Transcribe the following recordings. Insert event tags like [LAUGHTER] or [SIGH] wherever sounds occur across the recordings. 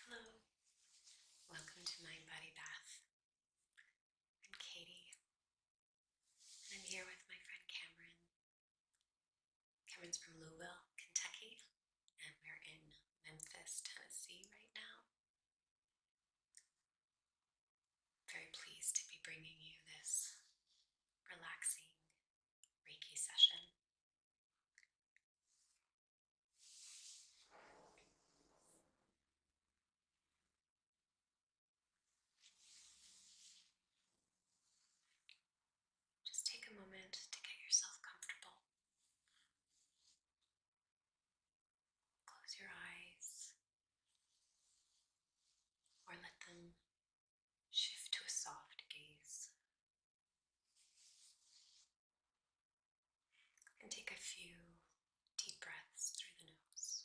Hello, welcome to Mind Body Bath. I'm Katie, and I'm here with my friend Cameron. Cameron's from Louisville, Kentucky, and we're in Memphis, Tennessee right now. Very pleased to be bringing you this relaxing Reiki session. Just take a moment to get yourself comfortable. Close your eyes or let them shift to a soft gaze. And take a few deep breaths through the nose.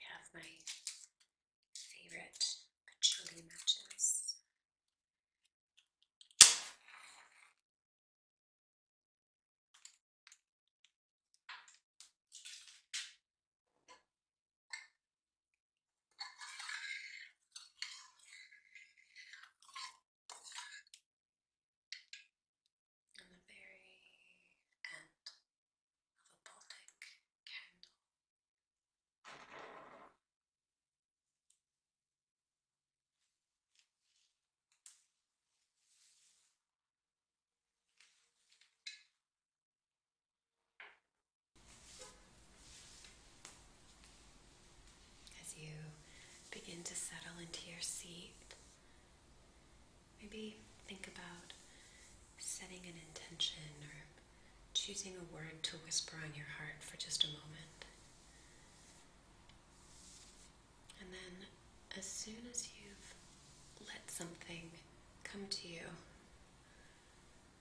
I have my favorite patchouli matches. And the very end of a Baltic candle. As you begin to settle into your seat, maybe think about setting an intention or choosing a word to whisper on your heart for just a moment. And then, as soon as you've let something come to you,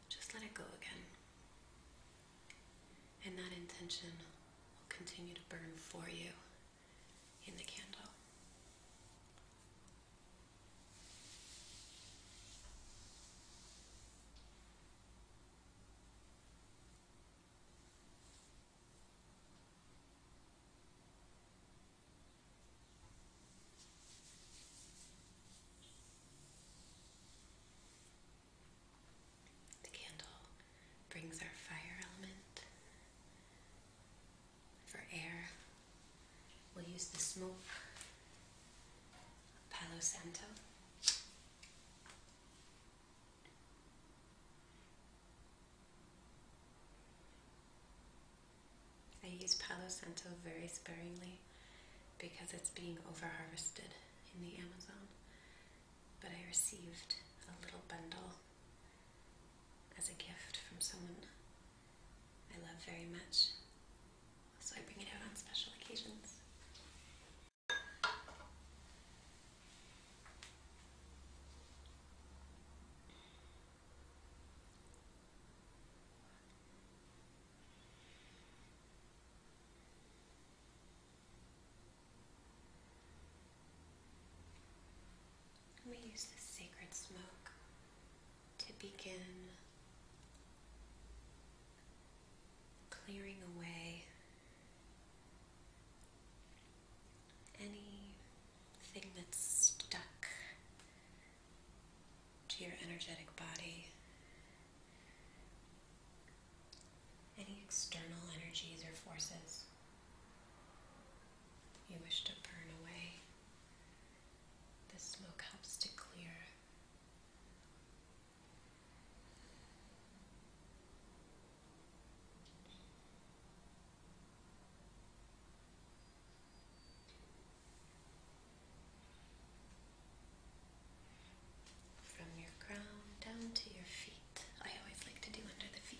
just let it go again. And that intention will continue to burn for you in the candle. The candle brings our fire element. For air, we'll use the smoke of Palo Santo. I use Palo Santo very sparingly because it's being overharvested in the Amazon, but I received a little bundle as a gift from someone I love very much, so I bring it out on special occasions. We use the sacred smoke to begin clearing away anything that's stuck to your energetic body, any external energies or forces you wish to burn away. The smoke helps to clear from your crown down to your feet. I always like to do under the feet.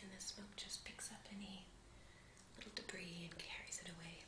And the smoke just picks up any little debris and carries it away.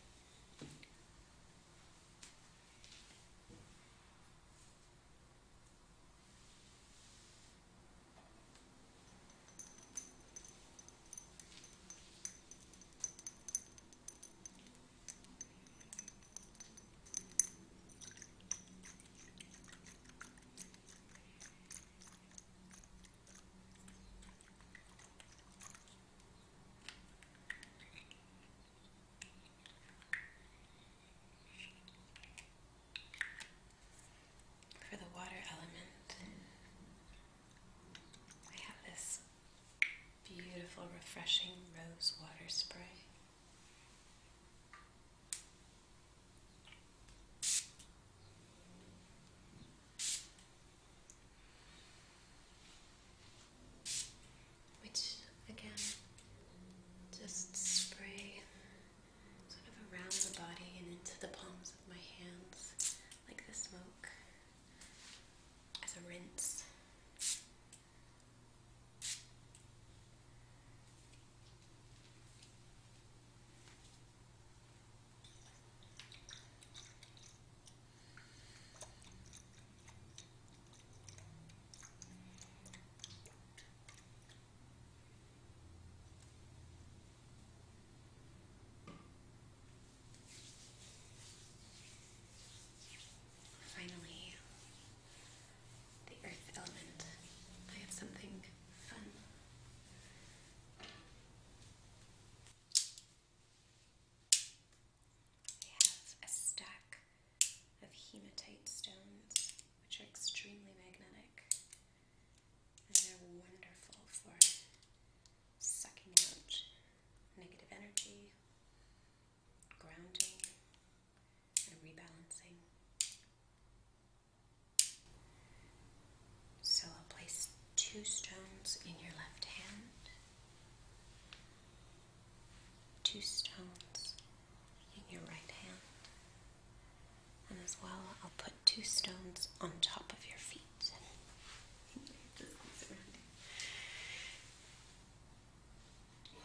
For the water element, I have this beautiful, refreshing rose water spray. Which again, just spray sort of around the body and into the palms of my hands, like the smoke, as a rinse. Finally, the earth element. I have something fun. I have a stack of hematite stones, which are extremely magnetic, and they're wonderful for sucking out negative energy, grounding, and rebalancing. So I'll place two stones in your left hand, two stones in your right hand, and as well I'll put two stones on top of your feet. [LAUGHS]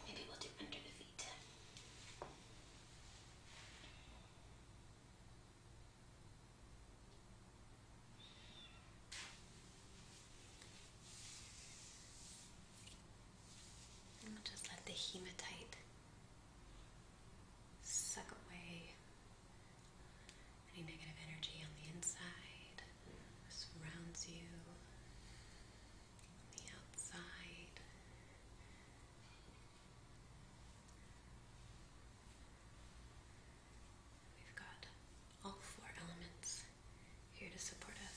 Maybe we'll do under the feet. we'll just let the hematite suck away any negative energy on the inside. Surrounds you the outside. We've got all four elements here to support us.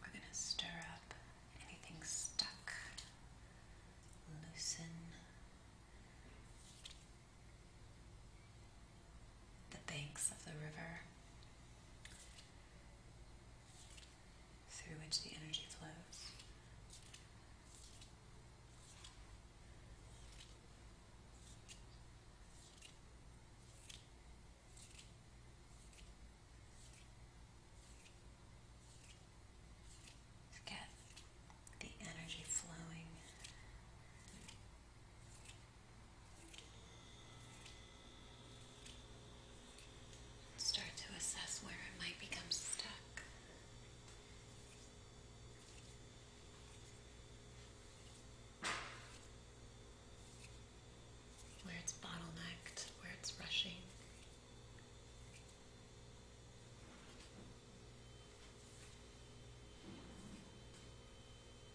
We're going to stir up anything stuck, loosen, the banks of the river through which the energy flows. Get the energy flowing start to assess where it might become stuck. Where it's bottlenecked, where it's rushing.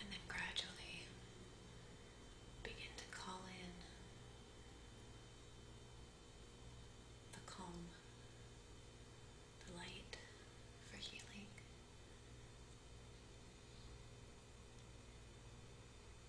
And then gradually begin to call in the calm, the light for healing.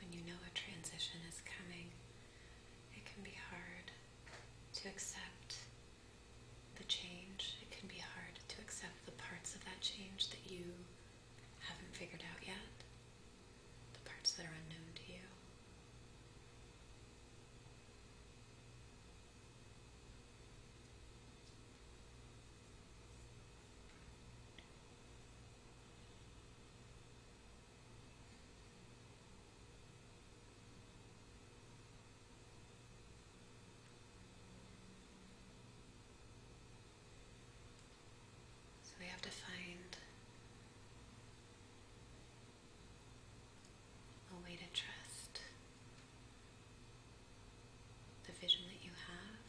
When you know a transition is coming, it can be hard to accept the change. It can be hard to accept the parts of that change that you haven't figured out yet, the parts that are unknown to you. So we have to find a way to trust the vision that you have.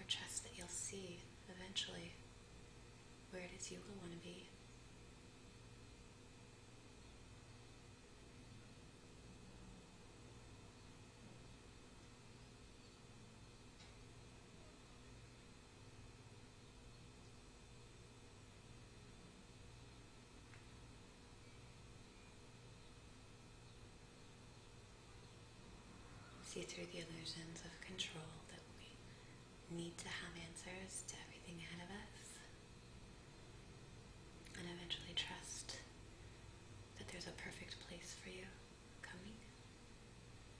Or trust that you'll see eventually where it is you will want to be. See through the illusions of control that we need to have answers to everything ahead of us. And eventually trust that there's a perfect place for you coming.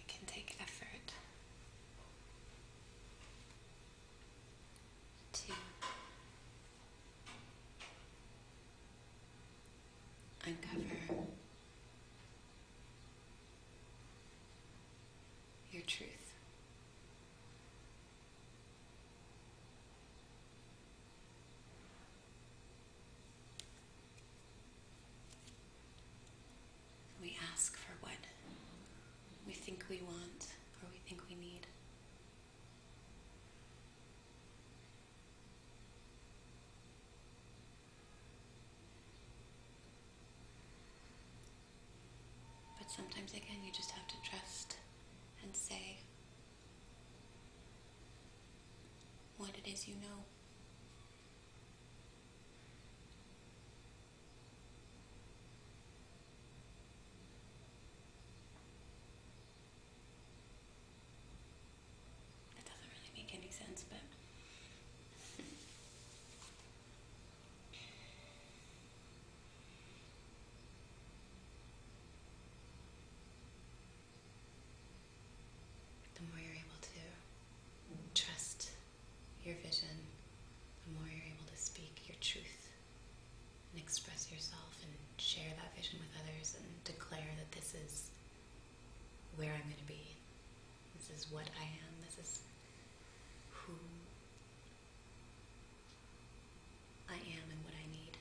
It can take effort to uncover your truth. We ask for what we think we want or we think we need. But sometimes, again, you just have to trust and say, what it is you know. That doesn't really make any sense, but. [LAUGHS] The more you're able to trust your vision, the more you're able to speak your truth and express yourself and share that vision with others and declare that this is where I'm going to be. This is what I am. This is who I am and what I need.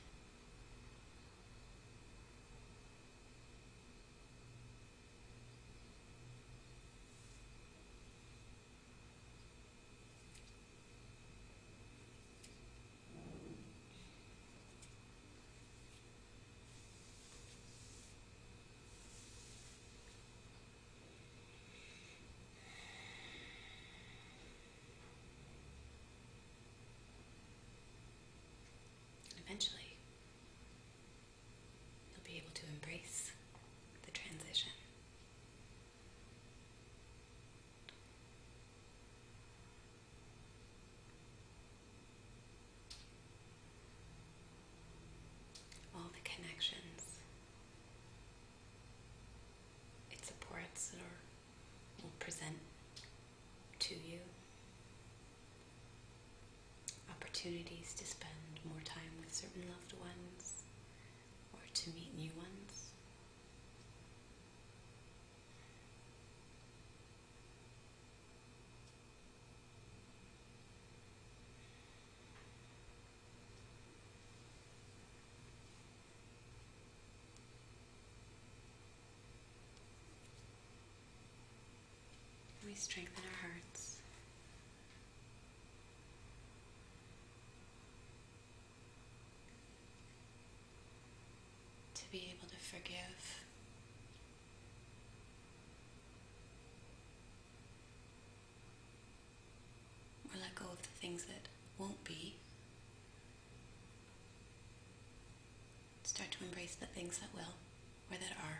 And eventually, you'll be able to embrace the transition. All the connections it supports or will present to you opportunities to spend more time with certain loved ones or to meet new ones. We strengthen our hearts. To be able to forgive or let go of the things that won't be. Start to embrace the things that will or that are.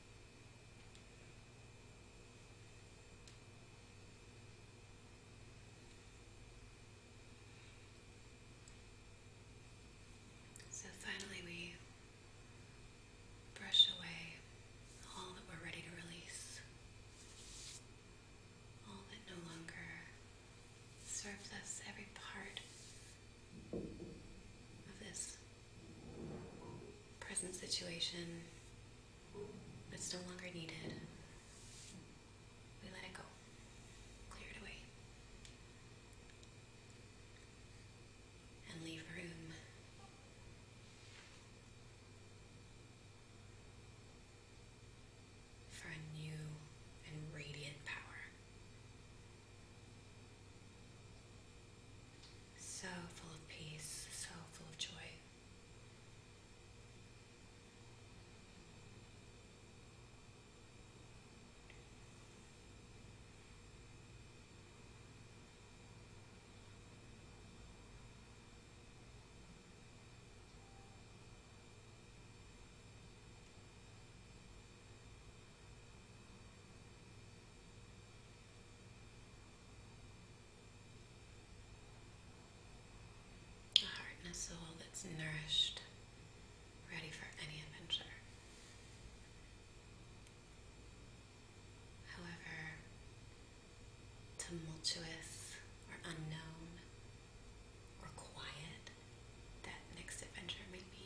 So finally, we brush away all that we're ready to release, all that no longer serves us, every part of this present situation that's no longer needed. We let it go, clear it away, and leave room for a new and radiant power so full of peace, so full of joy. A heart and a soul that's nourished, ready for any adventure. However tumultuous or unknown or quiet that next adventure may be.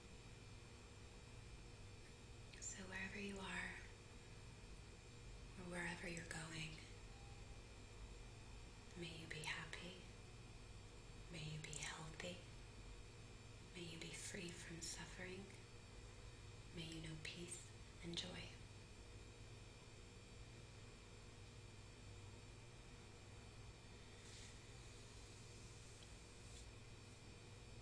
So, wherever you are, or wherever you're going, may you be happy, may you be healthy, may you be free from suffering, may you know peace and joy.